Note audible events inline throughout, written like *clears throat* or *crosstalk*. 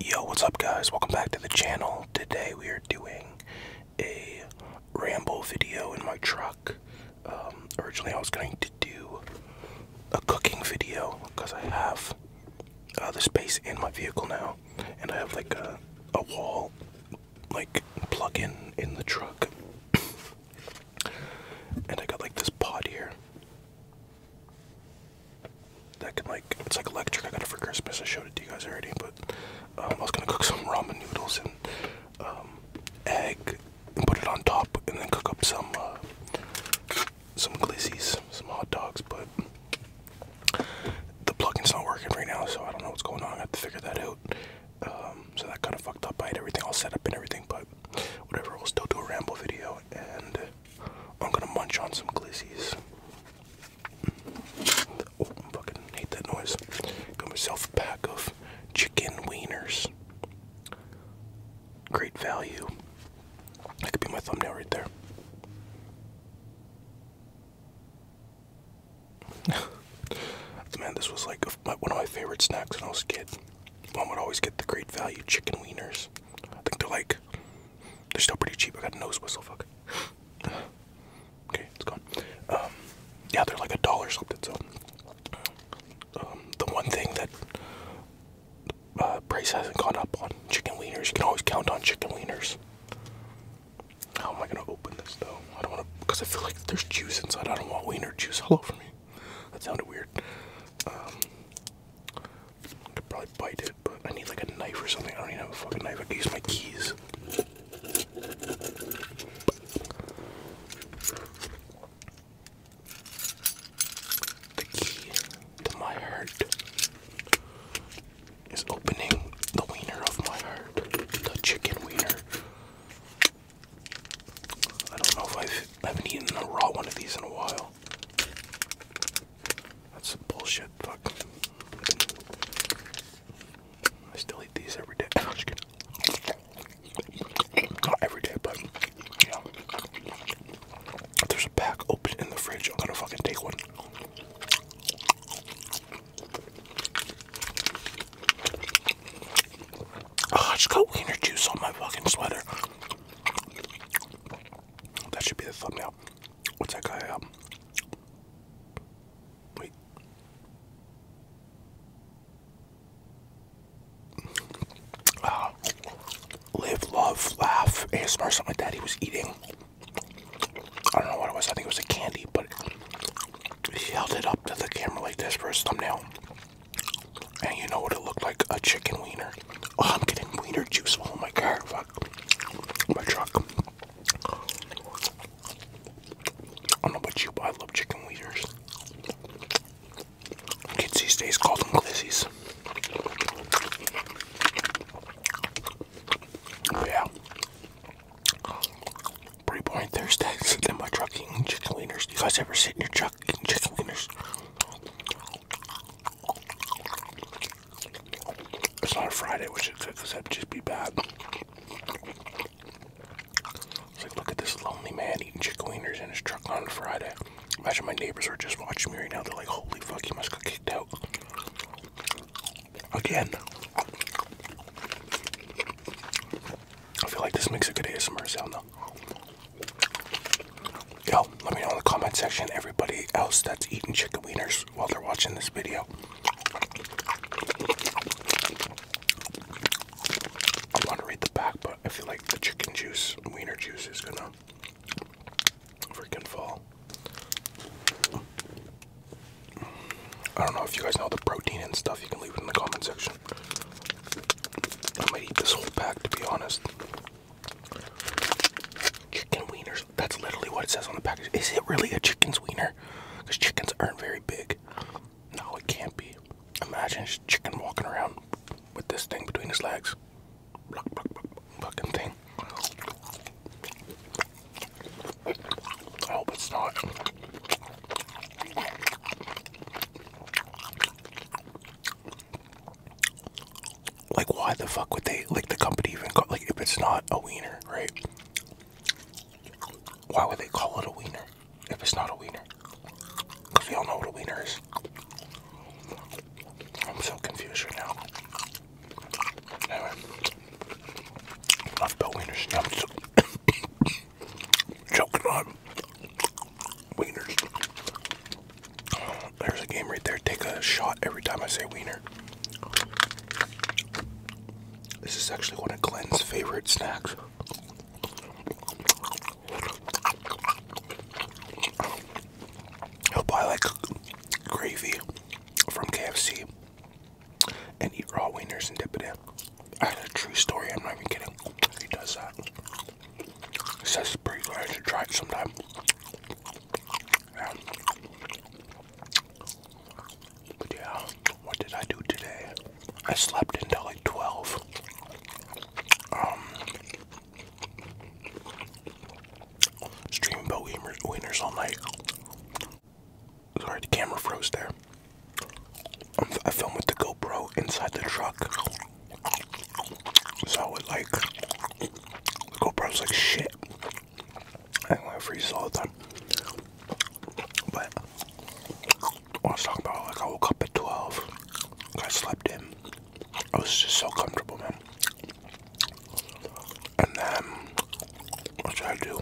Yo, what's up, guys? Welcome back to the channel. Today we are doing a ramble video in my truck. Um, originally, I was going to do a cooking video because I have uh, the space in my vehicle now, and I have like a, a wall like plug in in the truck, *coughs* and I got like this pot here. That can like it's like electric. I got it for Christmas. I showed it to you guys already, but um, I was gonna cook some ramen noodles and um, egg and put it on top, and then cook up some uh, some glizzies, some hot dogs. But the plug-in's not working right now, so I don't know what's going on. I have to figure that out. Um, so that kind of fucked up. I had everything all set up and everything, but whatever. We'll still do a ramble video and. I'm gonna munch on some glizzies. Oh, I fucking hate that noise. Got myself a pack of chicken wieners. Great value. That could be my thumbnail right there. *laughs* Man, this was like one of my favorite snacks when I was a kid. Mom would always get the great value chicken wieners. I think they're like they're still pretty cheap. I got a nose whistle. Fuck. okay, it's gone. Um, yeah, they're like a dollar something. So, um, the one thing that uh, price hasn't gone up on chicken wieners. You can always count on chicken wieners. How am I gonna open this though? I don't want to because I feel like there's juice inside. I don't want wiener juice all over me. That sounded weird. Um, I could probably bite it, but I need like a knife or something. I don't even have a fucking knife. I can use my keys. The key to my heart is opening the wiener of my heart, the chicken wiener. I don't know if I've, I haven't eaten a raw one of these in a while. That's some bullshit. Fuck. I still eat these every day. I'm Not every day, but yeah. If there's a pack open in the fridge, I'm gonna fucking take one. Oh, I just got wiener juice on my fucking sweater. That should be the thumbnail. What's that guy? Um, wait. Ah, live, love, laugh, ASMR, something like that. He was eating. I don't know what it was. I think it was a candy, but he held it up to the camera like this for his thumbnail. And you know what it looked like? A chicken wiener. Oh, I'm getting wiener juice. Oh my car, fuck. My truck. I don't know about you, but I love chicken wieners. Kids these days call them glissies. Yeah. Pretty boring Thursdays *laughs* in my truck eating chicken wieners. You guys ever sit in your truck eating chicken wieners? It's not a Friday, which it could, because that'd just be bad. It's like, look at this lonely man eating chicken wieners in his truck on Friday. Imagine my neighbors are just watching me right now. They're like, holy fuck, he must got kicked out. Again. I feel like this makes a good ASMR sound, though. Yo, let me know in the comment section everybody else that's eating chicken wieners while they're watching this video. I want to read the back, but I feel like the chicken juice, wiener juice, is gonna freaking fall. I don't know if you guys know the protein and stuff, you can leave it in the comment section. I might eat this whole pack to be honest. Chicken wieners. That's literally what it says on the package. Is it really a chicken's wiener? Because chickens aren't very big. No, it can't be. Imagine just chicken walking around with this thing between his legs. fucking thing. I hope it's not. Like, why the fuck would they, like, the company even call, like, if it's not a wiener, right? Why would they call it a wiener if it's not a wiener? Because we all know what a wiener is. I'm so confused right now. Anyway, enough about wieners. i *coughs* on. Wieners. Uh, there's a game right there. Take a shot every time I say wiener. This is actually one of Glenn's favorite snacks. He'll buy like gravy from KFC and eat raw wieners and dip it in. I had a true story, I'm not even kidding. He does that. It says pretty good. to should try it sometime. Um, but yeah, what did I do today? I slept until like 12. Um, stream about wieners, wieners all night. Sorry, the camera froze there. I'm, I filmed with the GoPro inside the truck. So it like the GoPro's like shit. I don't want to freeze all the But I was talking about like I woke up at 12. I slept in. I was just so comfortable, man. And then what did I do?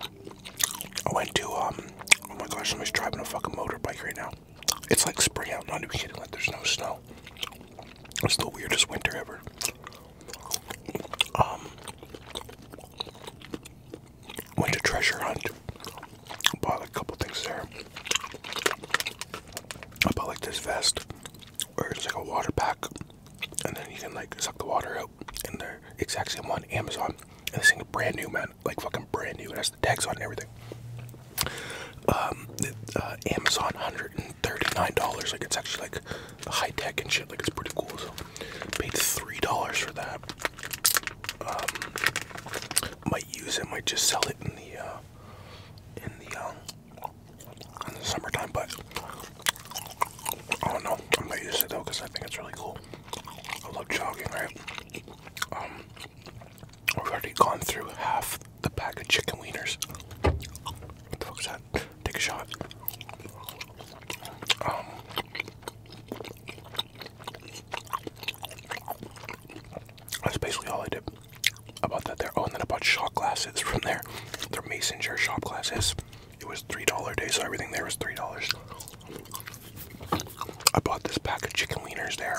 I went to um oh my gosh, somebody's driving a fucking motorbike right now. It's like spring out, not even kidding, like there's no snow. It's the weirdest winter ever. Um, went to treasure hunt. Bought a couple things there. I bought like this vest or it's like a water pack and then you can like suck the water out and they're exact same one Amazon and this thing is brand new man like fucking brand new and has the tags on everything um, uh, Amazon, $139. Like, it's actually like high tech and shit. Like, it's pretty cool. So, paid $3 for that. Um, might use it, might just sell it in the, uh, in the, um, in the summertime, but I don't know. I might use it though because I think it's really cool. I love jogging, right? We've already gone through half the pack of chicken wieners. What the fuck is that? Take a shot. Um, that's basically all I did about that there. Oh, and then I bought shot glasses from there. Their mason jar shot glasses. It was $3 day, so everything there was $3. I bought this pack of chicken wieners there.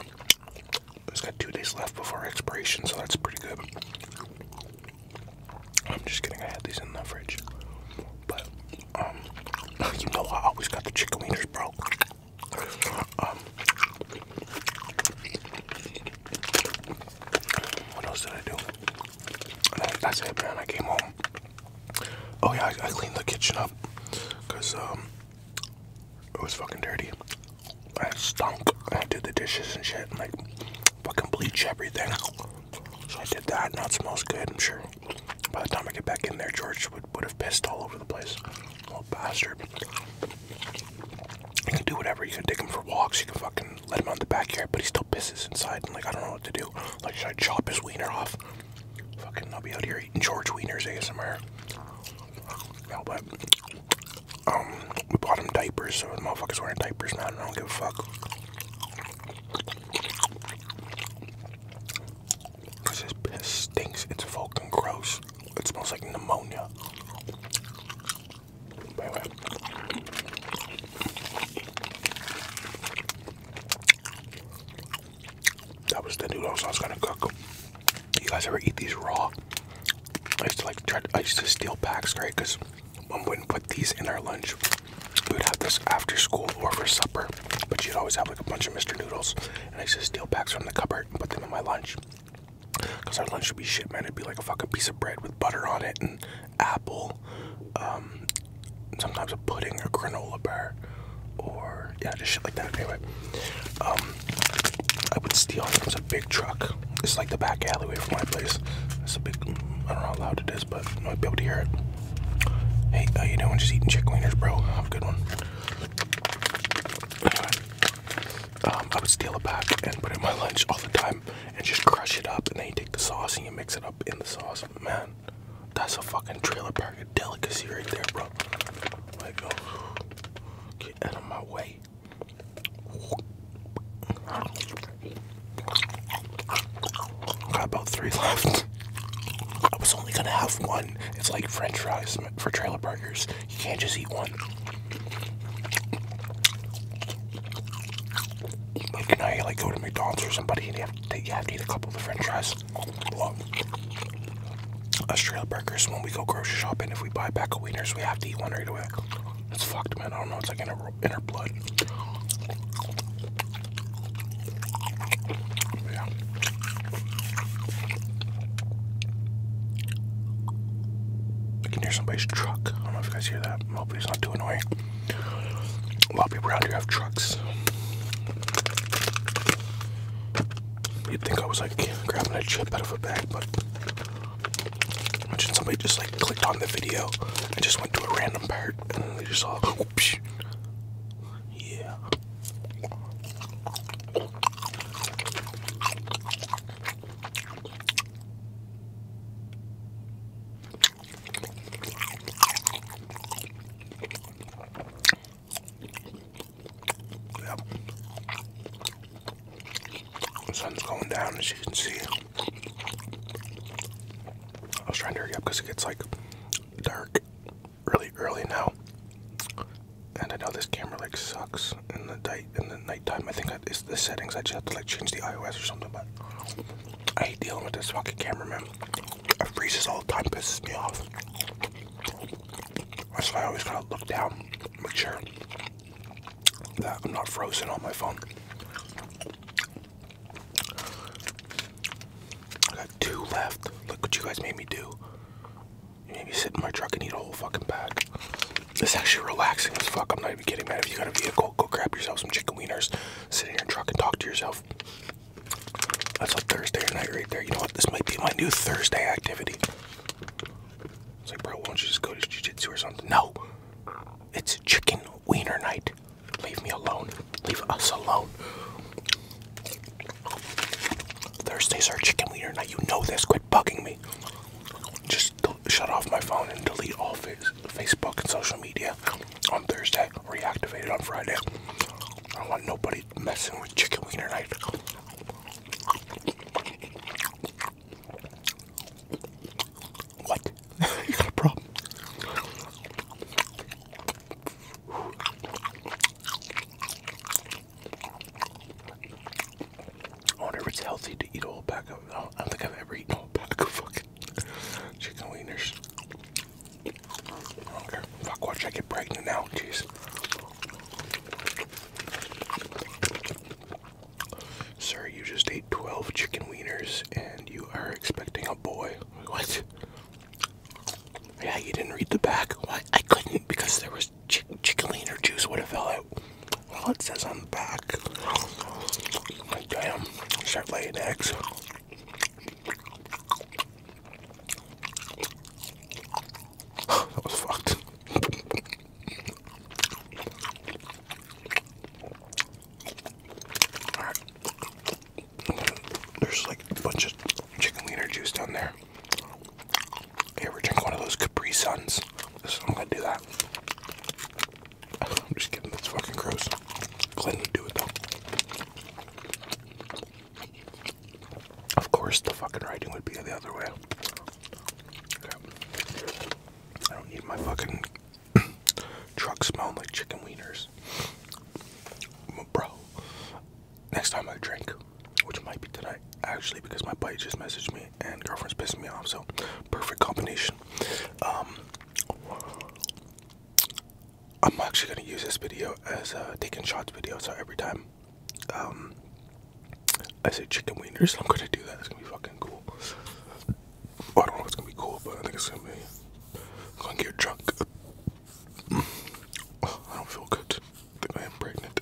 It's got two days left before expiration, so that's pretty good. I'm just kidding. I had these in the fridge, but um, *laughs* you know I always got the chicken wieners, bro. Um, what else did I do? That's it, man. I came home. Oh yeah, I, cleaned the kitchen up, cause um, it was fucking dirty. I stunk. I did the dishes and shit, and like fucking bleach everything. So I did that. Now it smells good. I'm sure. By the time I get back in there, George would would have pissed all over the place. Little bastard. You can do whatever. You can take him for walks. You can fucking let him out in the backyard, but he still pisses inside. And like I don't know what to do. Like should I chop his wiener off? Fucking, I'll be out here eating George wieners ASMR. No, But um, we bought him diapers, so the motherfuckers wearing diapers now. I don't give a fuck. Cause his stinks. It's fucking gross. It smells like pneumonia. That was the noodles I was gonna cook. You guys ever eat these raw? I used to like try. To, I used to steal packs, right? Because mom wouldn't put these in our lunch. We would have this after school or for supper. But you'd always have like a bunch of Mr. Noodles, and I used to steal packs from the cupboard and put them in my lunch. Cause our lunch would be shit, man. It'd be like a fucking piece of bread with butter on it and apple, um, sometimes a pudding or granola bar or yeah, just shit like that. Anyway, um, I would steal. it. It's a big truck. It's like the back alleyway from my place. It's a big. I don't know how loud it is, but you might be able to hear it. Hey, how you doing? Just eating chicken wingers, bro. Have a good one. Anyway, um, I would steal a pack and put it in my lunch all the time and just crush it up and then you take the sauce and you mix it up in the sauce. Man, that's a fucking trailer park target delicacy right there, bro. get out of my way. Got about three *laughs* left. I was only gonna have one. It's like French fries for trailer parkers. You can't just eat one. Like, you know, you like go to McDonald's or somebody and you have to, eat a couple of French fries. Australia burgers when we go grocery shopping. If we buy a pack of wieners, we have to eat one right away. It's fucked, man. I don't know. It's like in our blood. Yeah. I can hear somebody's truck. I don't know if you guys hear that. Hopefully it's not too annoying. A lot of people have trucks. You'd think I was like grabbing a chip out of a bag, but imagine somebody just like clicked on the video and just went to a random part and they just saw. Whoops, yeah. Yep. sun's going down, as you can see. I was trying to hurry up because it gets like dark really early now. And I know this camera like sucks in the night in the nighttime. I think it's the settings. I just have to like change the iOS or something. But I hate dealing with this fucking cameraman. man. It freezes all the time, pisses me off. That's why I always gotta look down, make sure that I'm not frozen on my phone. I got two left. Look what you guys made me do. You made me sit in my truck and eat a whole fucking bag. is actually relaxing as fuck. I'm not even kidding, man. If you got a vehicle, go grab yourself some chicken wieners, sit in your truck and talk to yourself. That's a Thursday night right there. You know what? This might be my new Thursday activity. It's like, bro, why don't you just go to jiu-jitsu or something? No. It's chicken wiener night. Leave me alone. Leave us alone. Thursdays are chicken wiener night. You know this. Quit bugging me. Just shut off my phone and delete all Facebook and social media on Thursday. Reactivate it on Friday. I don't want nobody messing with chicken wiener night. What? *laughs* you got a problem? I wonder if it's healthy to eat a whole pack of. I don't think I've ever eaten a whole pack of fucking *laughs* chicken wieners. Okay, fuck, watch I get pregnant now, jeez. Sir, you just ate 12 chicken wieners and you are expecting a boy. What? Yeah, you didn't read the back. What? I couldn't because there was chicken wiener juice would have fell out. Well, it says on the back. Like, damn, start laying eggs. *sighs* that was fucked. There's like a bunch of chicken wiener juice down there. You ever drink one of those Capri Suns? I'm gonna do that. *sighs* I'm just kidding, that's fucking gross. Clinton, would do it though. Of course, the fucking writing would be the other way. I don't need my fucking *coughs* truck smelling like chicken wieners. Bro, next time I drink, which might be tonight, actually, because my bite just messaged me and girlfriend's pissed me off, so perfect combination. Um, I'm actually gonna use this video as a uh, taking shots video. So every time um, I say chicken wieners, I'm gonna do that. It's gonna be fucking cool. I don't know if it's gonna be cool, but I think it's gonna be. I'm gonna get drunk. Oh, *sighs* I don't feel good. I think I am pregnant.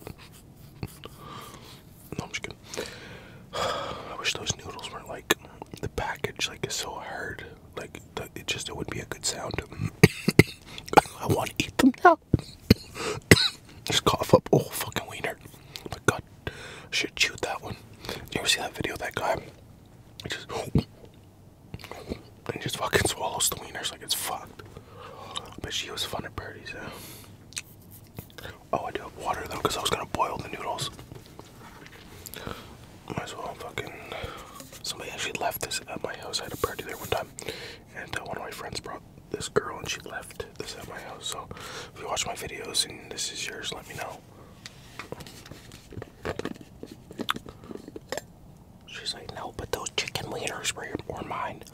No, I'm just kidding. *sighs* I wish those noodles weren't like the package. Like is so hard. Like it just it would be a good sound. *coughs* I want to eat them now. *coughs* Just cough up. Oh, fucking wiener. My God. I should chew that one. You ever see that video of that guy? He just, and just fucking swallows the wieners like it's fucked. But she was fun at parties, Oh, I do have water though, because I was gonna boil the noodles. Might as well fucking. Somebody actually left this at my house. I had a party there one time. And uh, one of my friends brought this girl and she left this at my house. So if you watch my videos and this is yours, let me know. She's like, no, but those chicken wieners were, were mine. *sighs*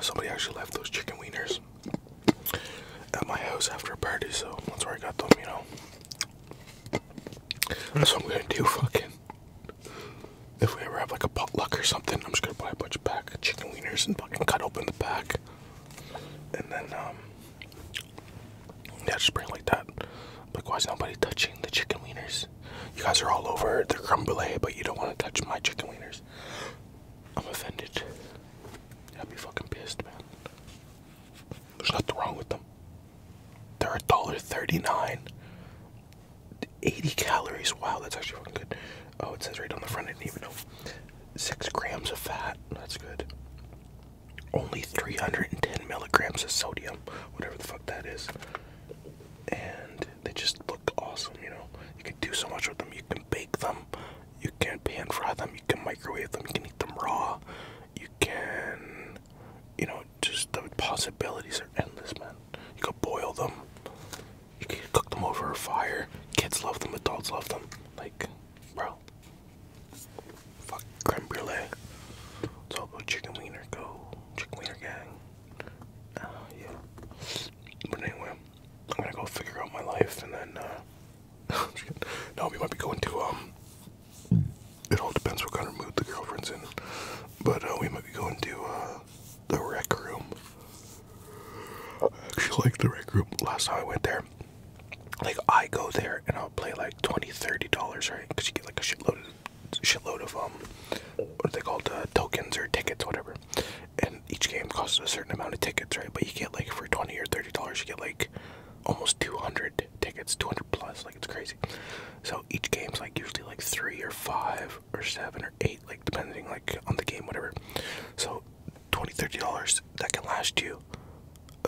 Somebody actually left those chicken wieners at my house after a party, so that's where I got them, you know. That's what I'm gonna do, *laughs* fucking. If we ever have like a potluck or something, I'm just gonna buy a bunch of chicken wieners and fucking cut open the pack. And then, um, yeah, just bring it like that. Like, why is nobody touching the chicken wieners? You guys are all over the creme but you don't want to touch my chicken wieners. I'm offended. I'd be fucking pissed, man. There's nothing wrong with them. They're a dollar thirty-nine. 80 calories. Wow, that's actually fucking good. Oh, it says right on the front. I didn't even know. Six grams of fat. That's good. Only 310 milligrams of sodium, whatever the fuck that is. And they just look awesome, you know. You can do so much with them. You can bake them you can pan fry them, you can microwave them, you can eat them raw, you can, you know, just the possibilities are endless, man. You can boil them, you can cook them over a fire. Kids love them, adults love them. Like, bro, fuck creme brulee. It's all about chicken wiener, go chicken wiener gang. Uh, yeah. But anyway. I'm gonna go figure out my life and then uh, *laughs* no we might be going to um it all depends what kind of mood the girlfriend's in but uh, we might be going to uh, the rec room I actually like the rec room last time I went there like I go there and I'll play like 20 30 dollars right because you get like a shitload of shitload of um what are they called tokens or tickets whatever and each game costs a certain amount of tickets, right? But you get like for twenty or thirty dollars, you get like almost two hundred tickets, two hundred plus, like it's crazy. So each game's like usually like three or five or seven or eight, like depending like on the game, whatever. So twenty, thirty dollars that can last you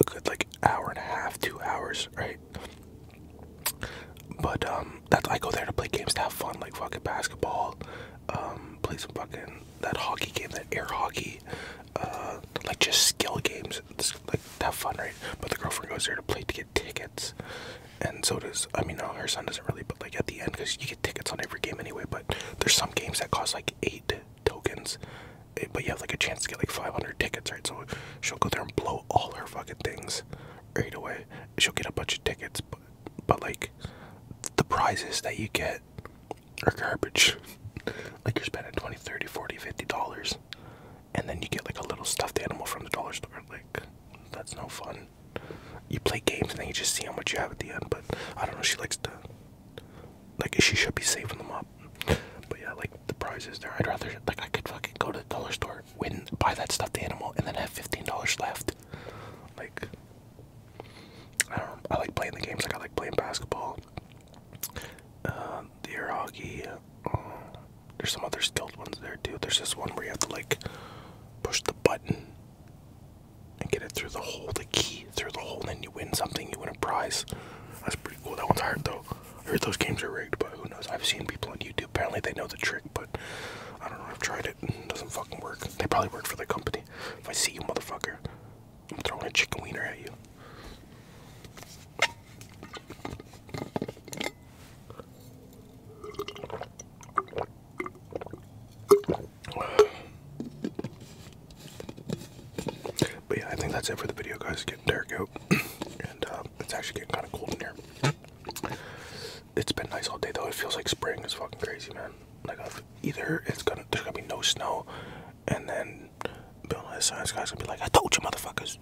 a good like hour and a half, two hours, right? But um, that's I go there to play games to have fun, like fucking basketball, um, play some fucking that hockey game, that air hockey, uh, like just skill games. It's like have fun, right? But the girlfriend goes there to play to get tickets, and so does I mean, no, her son doesn't really, but like at the end, because you get tickets on every game anyway. But there's some games that cost like eight tokens, eh, but you have like a chance to get like 500 tickets, right? So she'll go there and blow all her fucking things right away. She'll get a bunch of tickets, but but like the prizes that you get are garbage. like you're spending 20, 30, 40, 50 dollars and then you get like a little stuffed animal from the dollar store. Like that's no fun. You play games and then you just see how much you have at the end, but I don't know, she likes to like she should be saving them up. But yeah, like the prizes there. I'd rather like I could fucking go to the dollar store, win buy that stuffed animal and then have fifteen dollars left. Like I don't. I like playing the games. Like I like playing basketball, the uh, air hockey. Uh, there's some other skilled ones there too. There's this one where you have to like push the button and get it through the hole, the key through the hole, and then you win something. You win a prize. That's pretty cool. That one's hard though. I heard those games are rigged, but who knows? I've seen people on YouTube. Apparently they know the trick, but I don't know. I've tried it. It doesn't fucking work. They probably work for the company. If I see you, motherfucker, I'm throwing a chicken wiener at you. But yeah, I think that's it for the video, guys. It's getting dark out, *clears throat* and uh, it's actually getting kind of cold in here. It's been nice all day, though. It feels like spring is fucking crazy, man like either it's gonna there's gonna be no snow, and then Bill and his science guy's gonna be like, I told you, motherfuckers.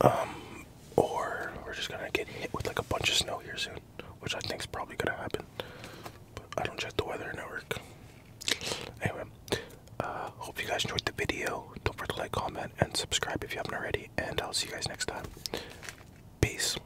Um, or we're just gonna get hit with like a bunch of snow here soon, which I think is probably gonna happen. But I don't check the weather network. Anyway, uh, hope you guys enjoyed the video. Don't forget to like, comment, and subscribe if you haven't already. And I'll see you guys next time. Peace.